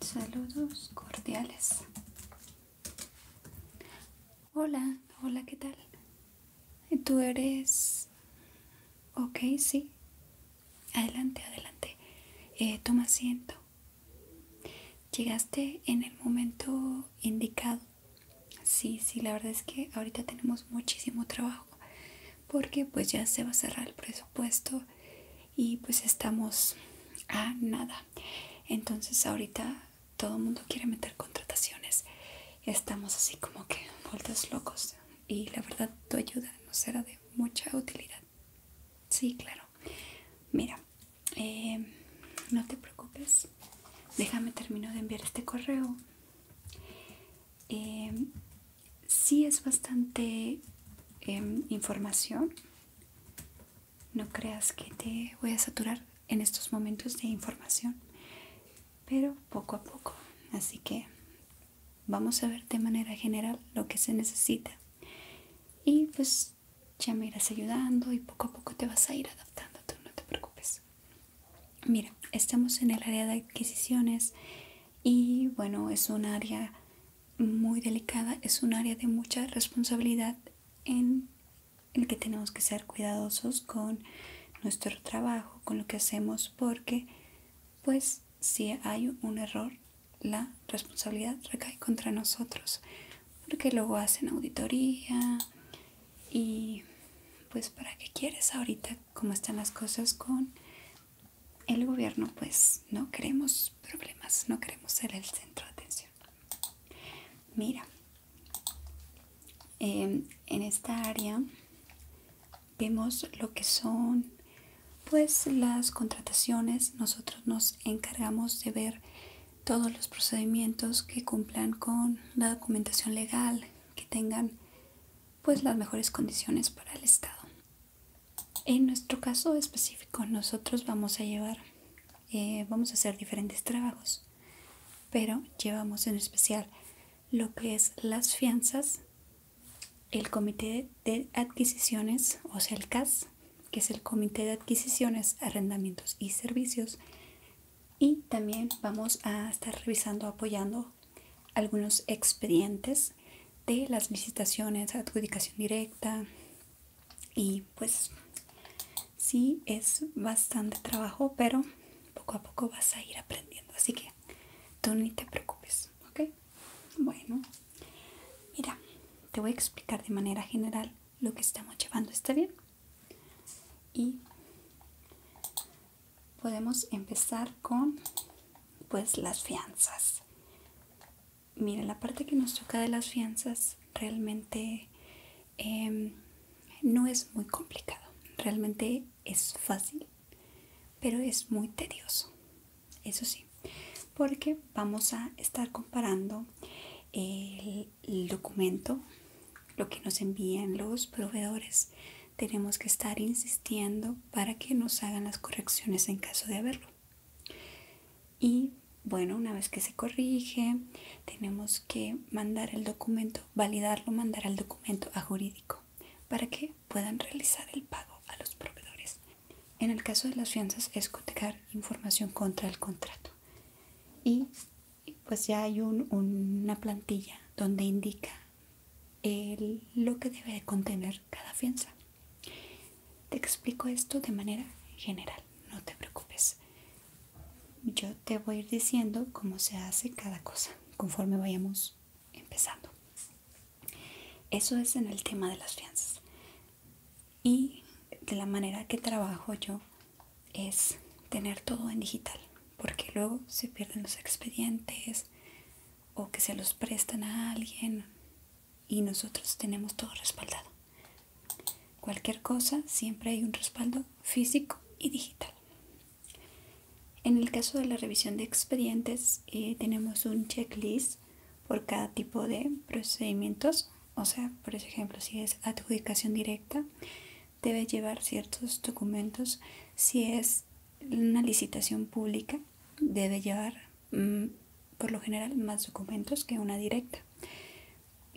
Saludos cordiales. Hola, hola, ¿qué tal? ¿Tú eres... Ok, sí. Adelante, adelante. Eh, toma asiento. Llegaste en el momento indicado. Sí, sí, la verdad es que ahorita tenemos muchísimo trabajo porque pues ya se va a cerrar el presupuesto y pues estamos a nada entonces ahorita todo el mundo quiere meter contrataciones estamos así como que vueltos locos y la verdad tu ayuda nos será de mucha utilidad sí claro mira eh, no te preocupes déjame terminar de enviar este correo eh, si es bastante em, información. No creas que te voy a saturar en estos momentos de información, pero poco a poco. Así que vamos a ver de manera general lo que se necesita. Y pues ya me irás ayudando y poco a poco te vas a ir adaptando, no te preocupes. Mira, estamos en el área de adquisiciones y bueno, es un área muy delicada, es un área de mucha responsabilidad en el que tenemos que ser cuidadosos con nuestro trabajo, con lo que hacemos, porque pues si hay un error, la responsabilidad recae contra nosotros, porque luego hacen auditoría y pues para qué quieres ahorita cómo están las cosas con el gobierno pues no queremos problemas, no queremos ser el centro de atención. Mira, em, en esta área vemos lo que son pues las contrataciones. Nosotros nos encargamos de ver todos los procedimientos que cumplan con la documentación legal, que tengan pues las mejores condiciones para el estado en nuestro caso específico nosotros vamos a llevar eh, vamos a hacer diferentes trabajos pero llevamos en especial lo que es las fianzas el comité de adquisiciones o sea el CAS que es el comité de adquisiciones arrendamientos y servicios y también vamos a estar revisando apoyando algunos expedientes de las licitaciones, adjudicación directa y pues sí es bastante trabajo, pero poco a poco vas a ir aprendiendo, así que tú ni te preocupes, ¿ok? Bueno, mira, te voy a explicar de manera general lo que estamos llevando, ¿está bien? Y podemos empezar con pues las fianzas mira la parte que nos toca de las fianzas realmente em, no es muy complicado realmente es fácil pero es muy tedioso eso sí porque vamos a estar comparando el documento lo que nos envían los proveedores tenemos que estar insistiendo para que nos hagan las correcciones en caso de haberlo. Y bueno, una vez que se corrige, tenemos que mandar el documento, validarlo, mandar el documento a jurídico para que puedan realizar el pago a los proveedores. En el caso de las fianzas es cotejar información contra el contrato. Y pues ya hay una plantilla donde indica lo que debe contener cada fianza. Te explico esto de manera general, no te preocupes. Yo te voy a ir diciendo cómo se hace cada cosa conforme vayamos empezando. Eso es en el tema de las fianzas. Y de la manera que trabajo yo es tener todo en digital porque luego se pierden los expedientes o que se los prestan a alguien y nosotros tenemos todo respaldado. Cualquier cosa, siempre hay un respaldo físico y digital. En el caso de la revisión de expedientes, eh, tenemos un checklist por cada tipo de procedimientos. O sea, por ejemplo, si es adjudicación directa, debe llevar ciertos documentos. Si es una licitación pública, debe llevar mm, por lo general más documentos que una directa.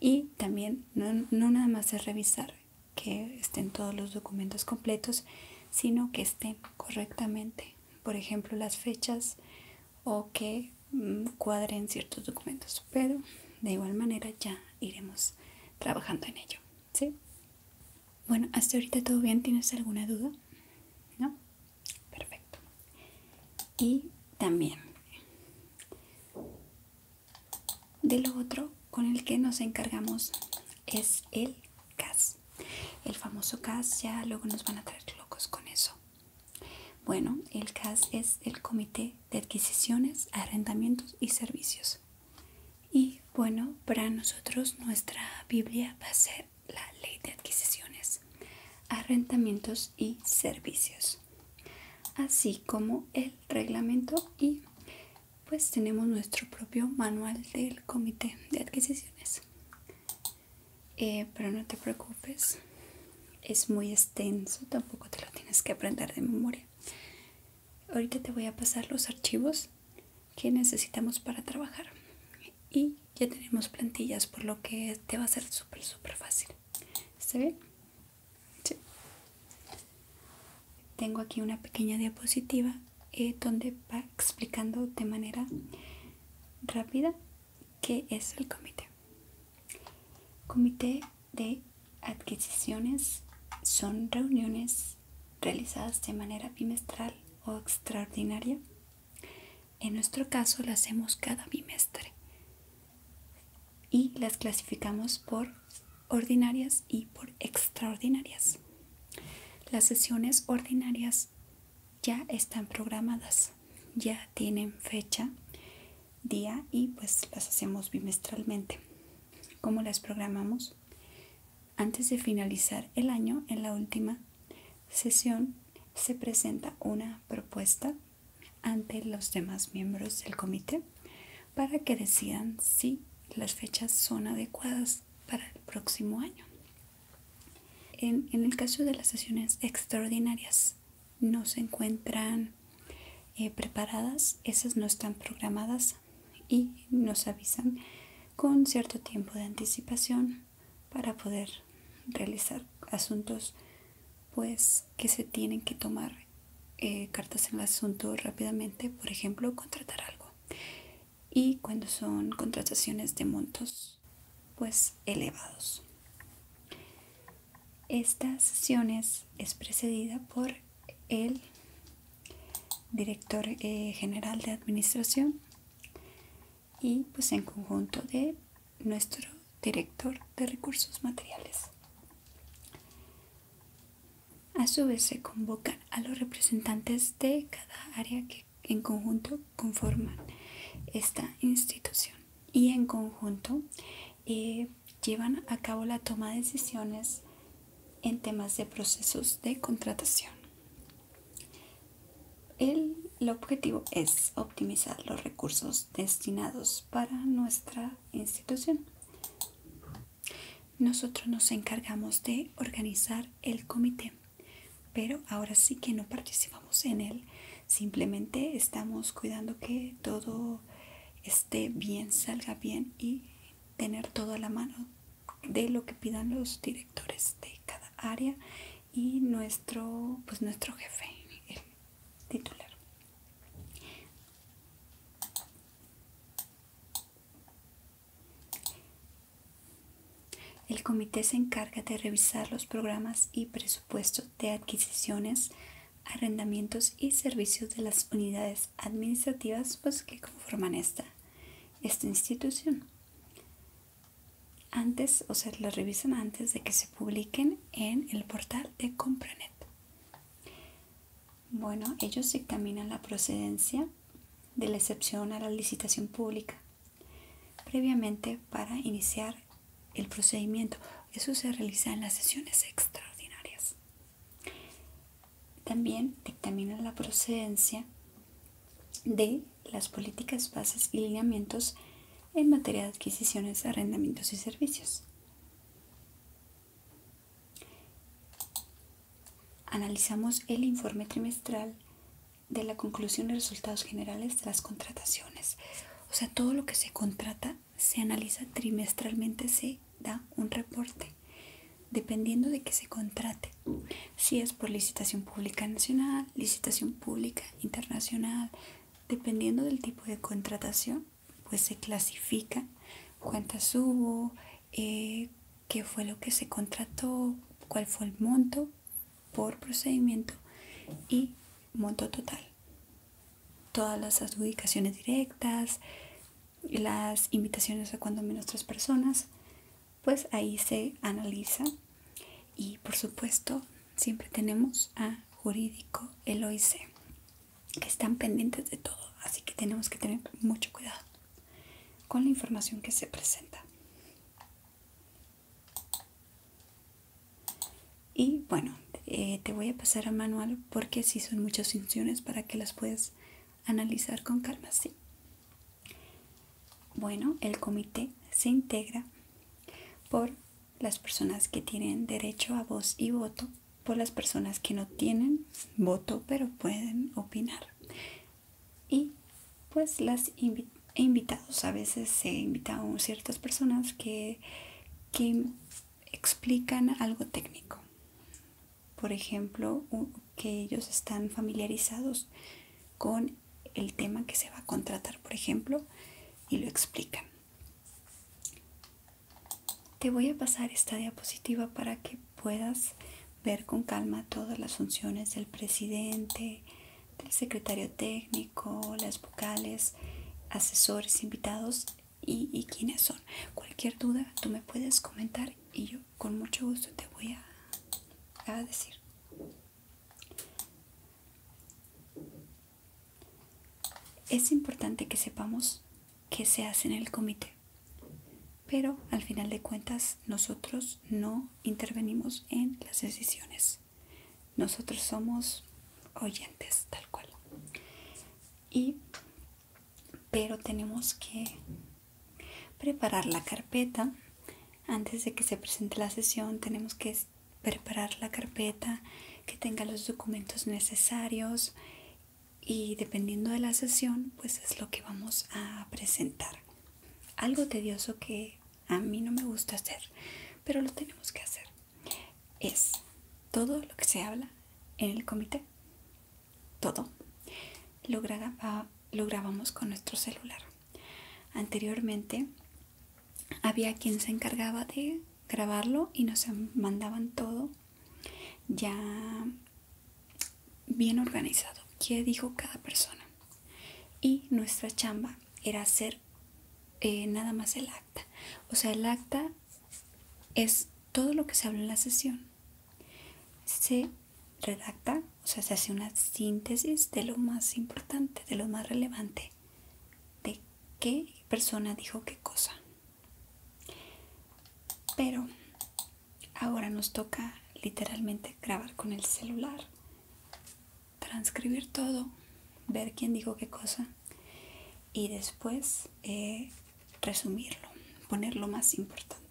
Y también no, nada más es revisar que estén todos los documentos completos, sino que estén correctamente, por ejemplo, las fechas o que mm, cuadren ciertos documentos. Pero de igual manera ya iremos trabajando en ello. ¿Sí? Bueno, hasta ahorita todo bien, ¿tienes alguna duda? ¿No? Perfecto. Y también, de lo otro con el que nos encargamos es el CAS. El famoso CAS, ya luego nos van a traer locos con eso. Bueno, el CAS es el Comité de Adquisiciones, Arrendamientos y Servicios. Y bueno, para nosotros nuestra Biblia va a ser la ley de adquisiciones, arrendamientos y servicios, así como el reglamento y pues tenemos nuestro propio manual del comité de adquisiciones. Eh, pero no te preocupes, es muy extenso, tampoco te lo tienes que aprender de memoria. Ahorita te voy a pasar los archivos que necesitamos para trabajar y ya tenemos plantillas por lo que te va a ser súper súper fácil tengo aquí una pequeña diapositiva eh, donde va explicando de manera rápida qué es el comité comité de adquisiciones son reuniones realizadas de manera bimestral o extraordinaria. En nuestro caso las hacemos cada bimestre y las clasificamos por ordinarias y por extraordinarias. Las sesiones ordinarias ya están programadas, ya tienen fecha día y pues las hacemos bimestralmente. como las programamos? Antes de finalizar el año, en la última sesión, se presenta una propuesta ante los demás miembros del comité para que decidan si las fechas son adecuadas para el próximo año. En, en el caso de las sesiones extraordinarias, no se encuentran eh, preparadas, esas no están programadas y nos avisan con cierto tiempo de anticipación para poder realizar asuntos pues que se tienen que tomar eh, cartas en el asunto rápidamente, por ejemplo, contratar algo. Y cuando son contrataciones de montos pues elevados. Esta sesión es, precedida por el director eh, general de administración y pues en conjunto de nuestro director de recursos materiales. A su vez se convocan a los representantes de cada área que en conjunto conforman esta institución y en conjunto eh, llevan a cabo la toma de decisiones en temas de procesos de contratación. El, el objetivo es optimizar los recursos destinados para nuestra institución. Nosotros nos encargamos de organizar el comité, pero ahora sí que no participamos en él Simplemente estamos cuidando que todo esté bien, salga bien y tener todo a la mano de lo que pidan los directores de cada área y nuestro, pues, nuestro jefe, titular. El comité se encarga de revisar los programas y presupuestos de adquisiciones arrendamientos y servicios de las unidades administrativas pues, que conforman esta, esta institución. Antes, o sea, las revisan antes de que se publiquen en el portal de Compranet. Bueno, ellos dictaminan la procedencia de la excepción a la licitación pública previamente para iniciar el procedimiento. Eso se realiza en las sesiones extraordinarias. También dictamina la procedencia de las políticas, bases y lineamientos en materia de adquisiciones, arrendamientos y servicios. Analizamos el informe trimestral de la conclusión de resultados generales de las contrataciones. O sea, todo lo que se contrata se analiza trimestralmente, se da un reporte, dependiendo de que se contrate. Si es por licitación pública nacional, licitación pública internacional, dependiendo del tipo de contratación, pues se clasifica cuántas hubo, eh, qué fue lo que se contrató, cuál fue el monto por procedimiento y monto total. Todas las adjudicaciones directas, las invitaciones a cuando menos tres personas, pues ahí se analiza. Y por supuesto, siempre tenemos a Jurídico Eloise, que están pendientes de todo, así que tenemos que tener mucho cuidado con la información que se presenta. Y bueno, eh, te voy a pasar a manual porque si son muchas funciones para que las puedas analizar con calma, ¿sí? Bueno, el comité se integra por las personas que tienen derecho a voz y voto, por las personas que no tienen voto pero pueden opinar. Y pues las invito. He invitados. A veces se invitan ciertas personas que, que explican algo técnico. Por ejemplo, que ellos están familiarizados con el tema que se va a contratar, por ejemplo, y lo explican. Te voy a pasar esta diapositiva para que puedas ver con calma todas las funciones del presidente, del secretario técnico, las vocales, asesores, invitados y, y quiénes son. Cualquier duda tú me puedes comentar y yo con mucho gusto te voy a decir. Es importante que sepamos qué se hace en el comité, pero al final de cuentas nosotros no intervenimos en las decisiones. Nosotros somos oyentes, tal cual. Y, pero tenemos que preparar la carpeta. Antes de que se presente la sesión, tenemos que preparar la carpeta que tenga los documentos necesarios y dependiendo de la sesión, pues es lo que vamos a presentar. Algo tedioso que a mí no me gusta hacer, pero lo tenemos que hacer, es todo lo que se habla en el comité, todo, ah, lo, grabamos con nuestro celular. Anteriormente había quien se encargaba de grabarlo y nos mandaban todo ya bien organizado, qué dijo cada persona. Y nuestra chamba era hacer eh, nada más el acta. O sea, el acta es todo lo que se habla en la sesión. Se redacta, o sea, se hace una síntesis de lo más importante, de lo más relevante, de qué persona dijo qué cosa. Pero ahora nos toca literalmente grabar con el celular transcribir todo, ver quién dijo qué cosa y después eh, resumirlo, poner lo más importante.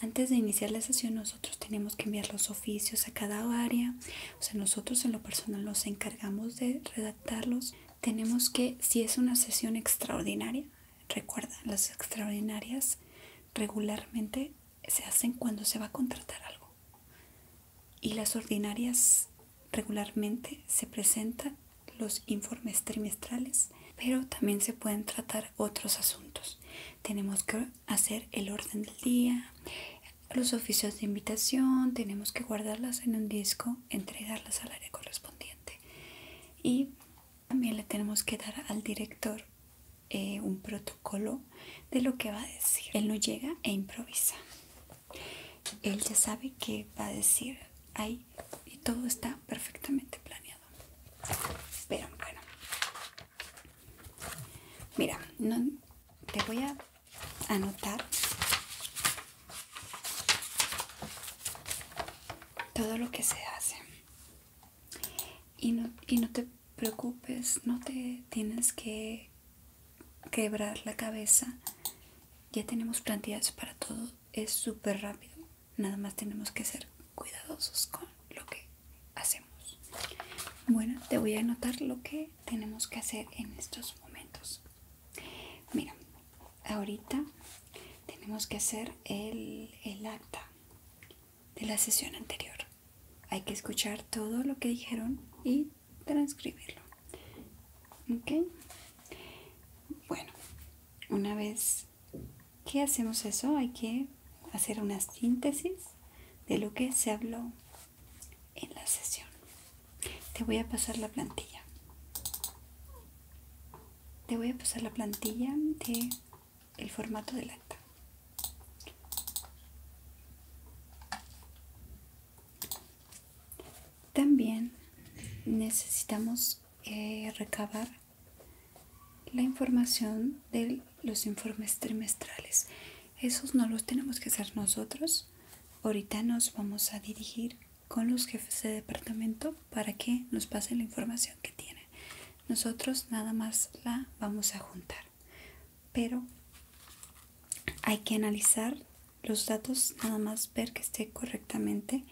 Antes de iniciar la sesión nosotros tenemos que enviar los oficios a cada área, o sea, nosotros en lo personal nos encargamos de redactarlos. Tenemos que, si es una sesión extraordinaria, Recuerda, las extraordinarias regularmente se hacen cuando se va a contratar algo y las ordinarias regularmente se presentan los informes trimestrales, pero también se pueden tratar otros asuntos. Tenemos que hacer el orden del día, los oficios de invitación, tenemos que guardarlas en un disco, entregarlas al área correspondiente y también le tenemos que dar al director eh, un protocolo de lo que va a decir. Él no llega e improvisa. Él ya sabe qué va a decir ahí y todo está perfectamente planeado. Pero bueno. Mira, no, te voy a anotar todo lo que se hace y no, y no te preocupes, no te tienes que quebrar la cabeza. Ya tenemos plantillas para todo, es súper rápido. Nada más tenemos que ser cuidadosos con lo que hacemos. Bueno, te voy a anotar lo que tenemos que hacer en estos momentos. Mira, ahorita tenemos que hacer el, acta de la sesión anterior. Hay que escuchar todo lo que dijeron y transcribirlo. ¿Ok? Bueno, una vez que hacemos eso hay que hacer una síntesis de lo que se habló en la sesión. Te voy a pasar la plantilla te voy a pasar la plantilla de el formato del acta también necesitamos eh, recabar la información de los informes trimestrales esos no los tenemos que hacer nosotros ahorita nos vamos a dirigir con los jefes de departamento para que nos pasen la información que tienen. Nosotros nada más la vamos a juntar, pero hay que analizar los datos, nada más ver que esté correctamente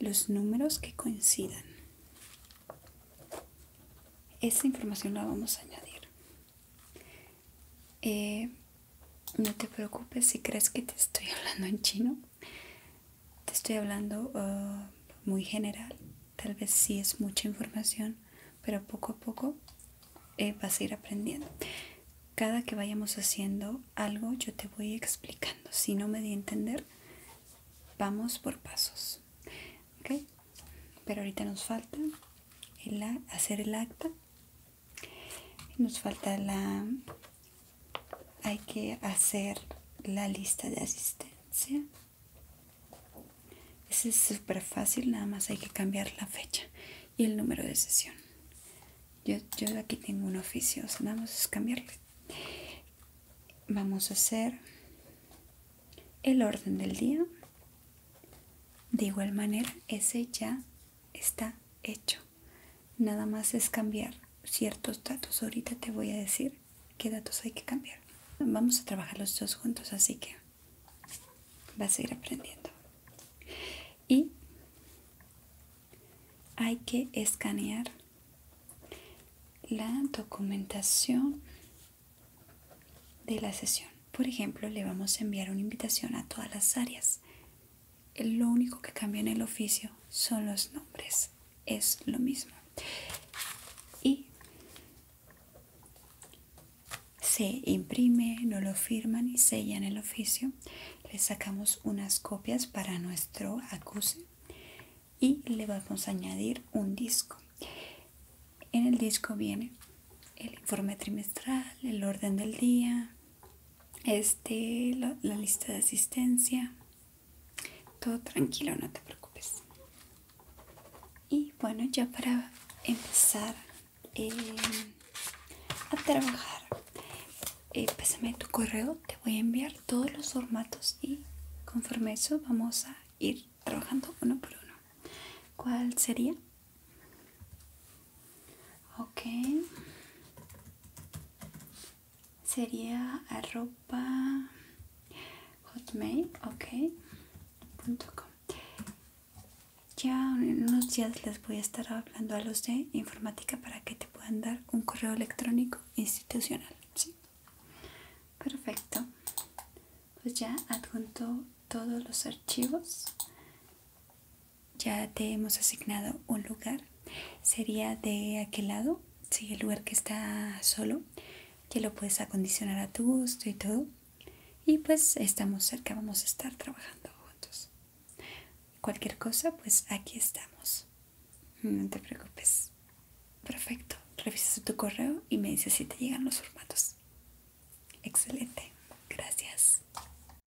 los números que coincidan. Esa información la vamos a añadir. Eh, no te preocupes si crees que te estoy hablando en chino te estoy hablando uh, muy general, tal vez sí es mucha información, pero poco a poco eh, vas a ir aprendiendo. Cada que vayamos haciendo algo, yo te voy explicando. Si no me di a entender, vamos por pasos. Pero ahorita nos falta hacer el acta. Nos falta la hay que hacer la lista de asistencia. es súper fácil, nada más hay que cambiar la fecha y el número de sesión. Yo, yo aquí tengo un oficio, vamos a nada es cambiarle. Vamos a hacer el orden del día. De igual manera, ese ya está hecho nada más es cambiar ciertos datos ahorita te voy a decir qué datos hay que cambiar vamos a trabajar los dos juntos así que vas a ir aprendiendo y hay que escanear la documentación de la sesión por ejemplo le vamos a enviar una invitación a todas las áreas lo único que cambia en el oficio son los nombres, es lo mismo. Y se imprime, no lo firman y sellan el oficio. Le sacamos unas copias para nuestro acuse y le vamos a añadir un disco. En el disco viene el informe trimestral, el orden del día, este, la, lista de asistencia. Todo tranquilo, no te preocupes. Y bueno, ya para empezar eh, a trabajar, eh, pésame tu correo, te voy a enviar todos los formatos y conforme eso vamos a ir trabajando uno por uno. ¿Cuál sería? ok sería arroba hotmail ok com. ya en unos días les voy a estar hablando a los de informática para que te puedan dar un correo electrónico institucional perfecto pues ya adjunto todos los archivos ya te hemos asignado un lugar. Sería de aquel lado, sí, el lugar que está solo, que lo puedes acondicionar a tu gusto y todo. Y pues estamos cerca, vamos a estar trabajando juntos. Cualquier cosa, pues aquí estamos. No te preocupes. Perfecto. Revisas tu correo y me dices si te llegan los formatos. Excelente. Gracias.